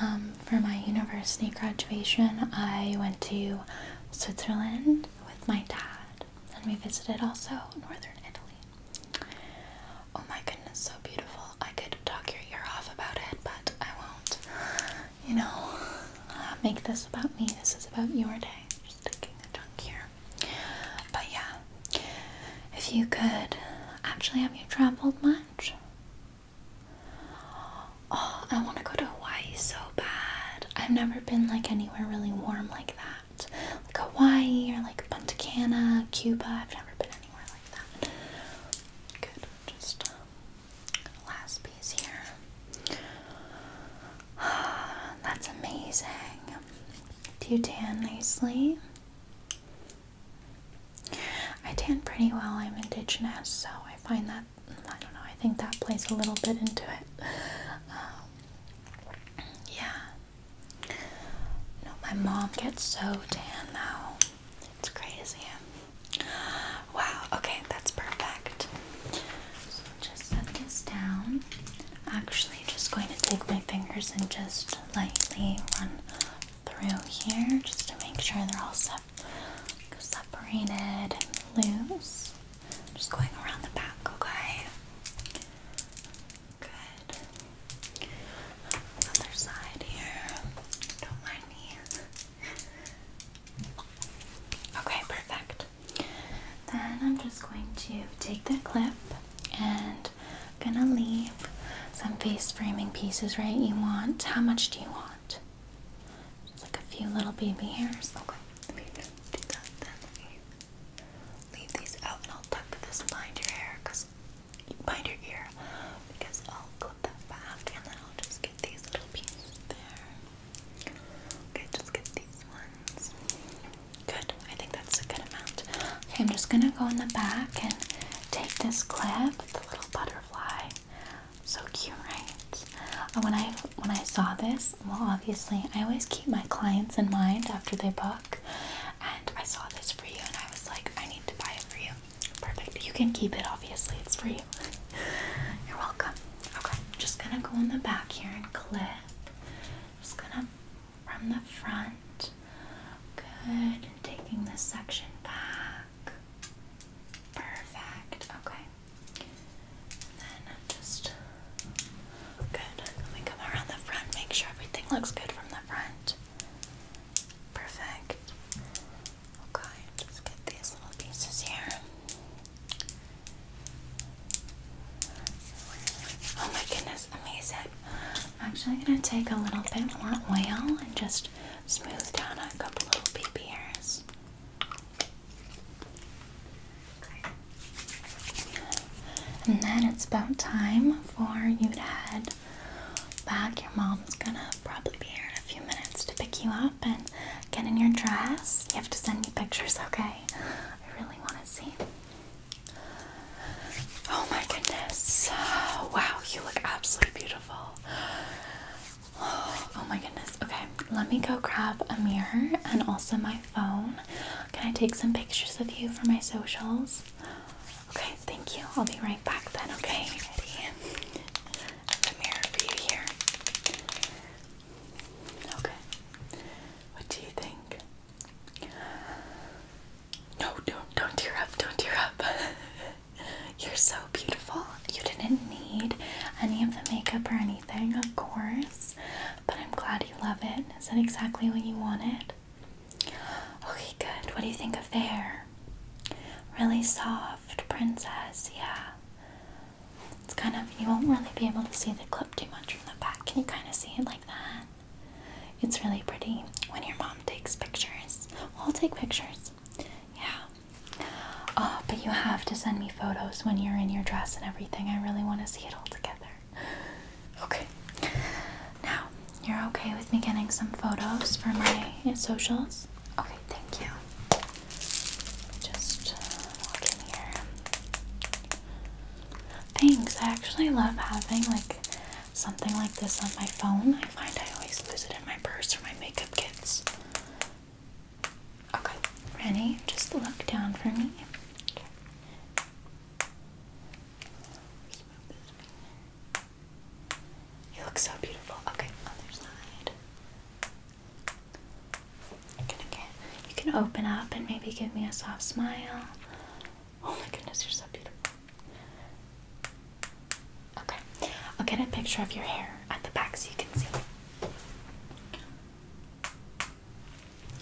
Um, for my university graduation, I went to Switzerland with my dad. And we visited also northern Italy. Oh my goodness, so beautiful. I could talk your ear off about it, but I won't. You know, uh, make this about me. This is about your day. Just taking a chunk here. But yeah, if you could. Actually, have you traveled much? Oh, I want to go to Hawaii so bad. I've never been like anywhere really warm like that. Like Hawaii or like Punta Cana, Cuba. I've never been anywhere like that. Good. Just um, last piece here. *sighs* That's amazing. Do you tan nicely? I tan pretty well. I'm indigenous, so I find that I don't know. I think that plays a little bit into it. Um, yeah. No, my mom gets so tan now. It's crazy. Wow, okay, that's perfect. So just set this down. Actually, just going to take my fingers and just lightly run through here just to make sure they're all separated and loose. I'm just going around the back, okay? Good. Other side here. Don't mind me. Okay, perfect. Then I'm just going to take the clip and gonna leave some face framing pieces, right? You want how much do you want? like a few little baby hairs. Okay, leave these out and I'll tuck this behind your hair behind your ear because I'll clip that back and then I'll just get these little pieces there. Okay, just get these ones. Good, I think that's a good amount. Okay, I'm just gonna go in the back and take this clip, the little butterfly. So cute, right? when I when I saw this, well, obviously, I always keep my clients in mind after they book. And I saw this for you, and I was like, I need to buy it for you. Perfect. You can keep it, obviously, it's for you. *laughs* You're welcome. Okay, just gonna go in the back here and clip. Just gonna from the front. Good. taking this section back. Perfect. Okay then just good. Let me come around the front, make sure everything looks good from the front. Perfect. Okay, just get these little pieces here. Oh my goodness, amazing. I'm actually gonna take a little bit more oil and just smooth down a couple little baby hairs. And then it's about time for you to head back. Your mom's gonna probably be here in a few minutes to pick you up and get in your dress. You have to send me pictures, okay? I really want to see. Oh my goodness. Wow, you look absolutely beautiful. Oh my goodness. Okay, let me go grab a mirror and also my phone. Can I take some pictures of you for my socials? Okay, thank you. I'll be right back then, okay? Ready? The mirror for you here. Okay. What do you think? No, don't don't tear up, don't tear up. *laughs* You're so beautiful. You didn't need any of the makeup or anything, of course but I'm glad you love it. Is that exactly what you wanted? Okay, good. What do you think of there? Really soft, princess, yeah. It's kind of, you won't really be able to see the clip too much from the back. Can you kind of see it like that? It's really pretty when your mom takes pictures. I'll take pictures. Yeah. Oh, but you have to send me photos when you're in your dress and everything. I really want to see it all together. *laughs* Okay. Now, you're okay with me getting some photos for my socials? Okay, thank you. Just walk uh, in here. Thanks. I actually love having like something like this on my phone. I find I always lose it in my purse or my makeup kits. Okay, Rennie, just look down for me. You look so beautiful. Okay, other side. again, you can open up and maybe give me a soft smile. Oh my goodness, you're so beautiful. Okay, I'll get a picture of your hair at the back so you can see.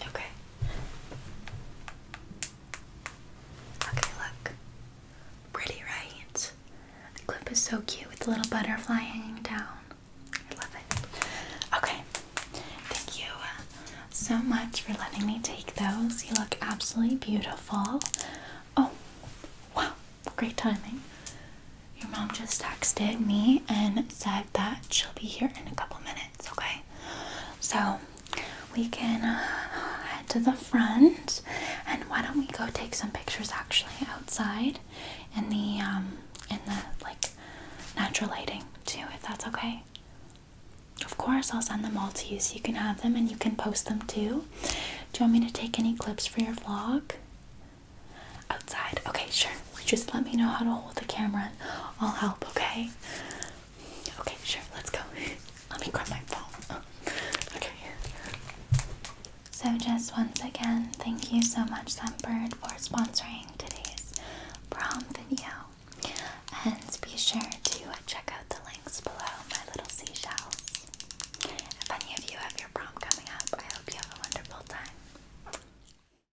Okay. Okay, look. Pretty, right? The clip is so cute with the little butterfly hanging down. I love it. Okay. Thank you uh, so much for letting me take those. You look absolutely beautiful. Oh, wow. Great timing. Your mom just texted me and said that she'll be here in a couple minutes minutes, okay? So we can uh, head to the front, and why don't we go take some pictures actually outside in the um in the like natural lighting too, if that's okay. Of course, I'll send them all to you so you can have them and you can post them too. Do you want me to take any clips for your vlog? Outside, okay, sure just let me know how to hold the camera I'll help, okay? Okay, sure, let's go. Let me grab my phone. Okay. So, just once again, thank you so much, Sunbird, for sponsoring today's prom video. And be sure to check out the links below my little seashells. If any of you have your prom coming up, I hope you have a wonderful time.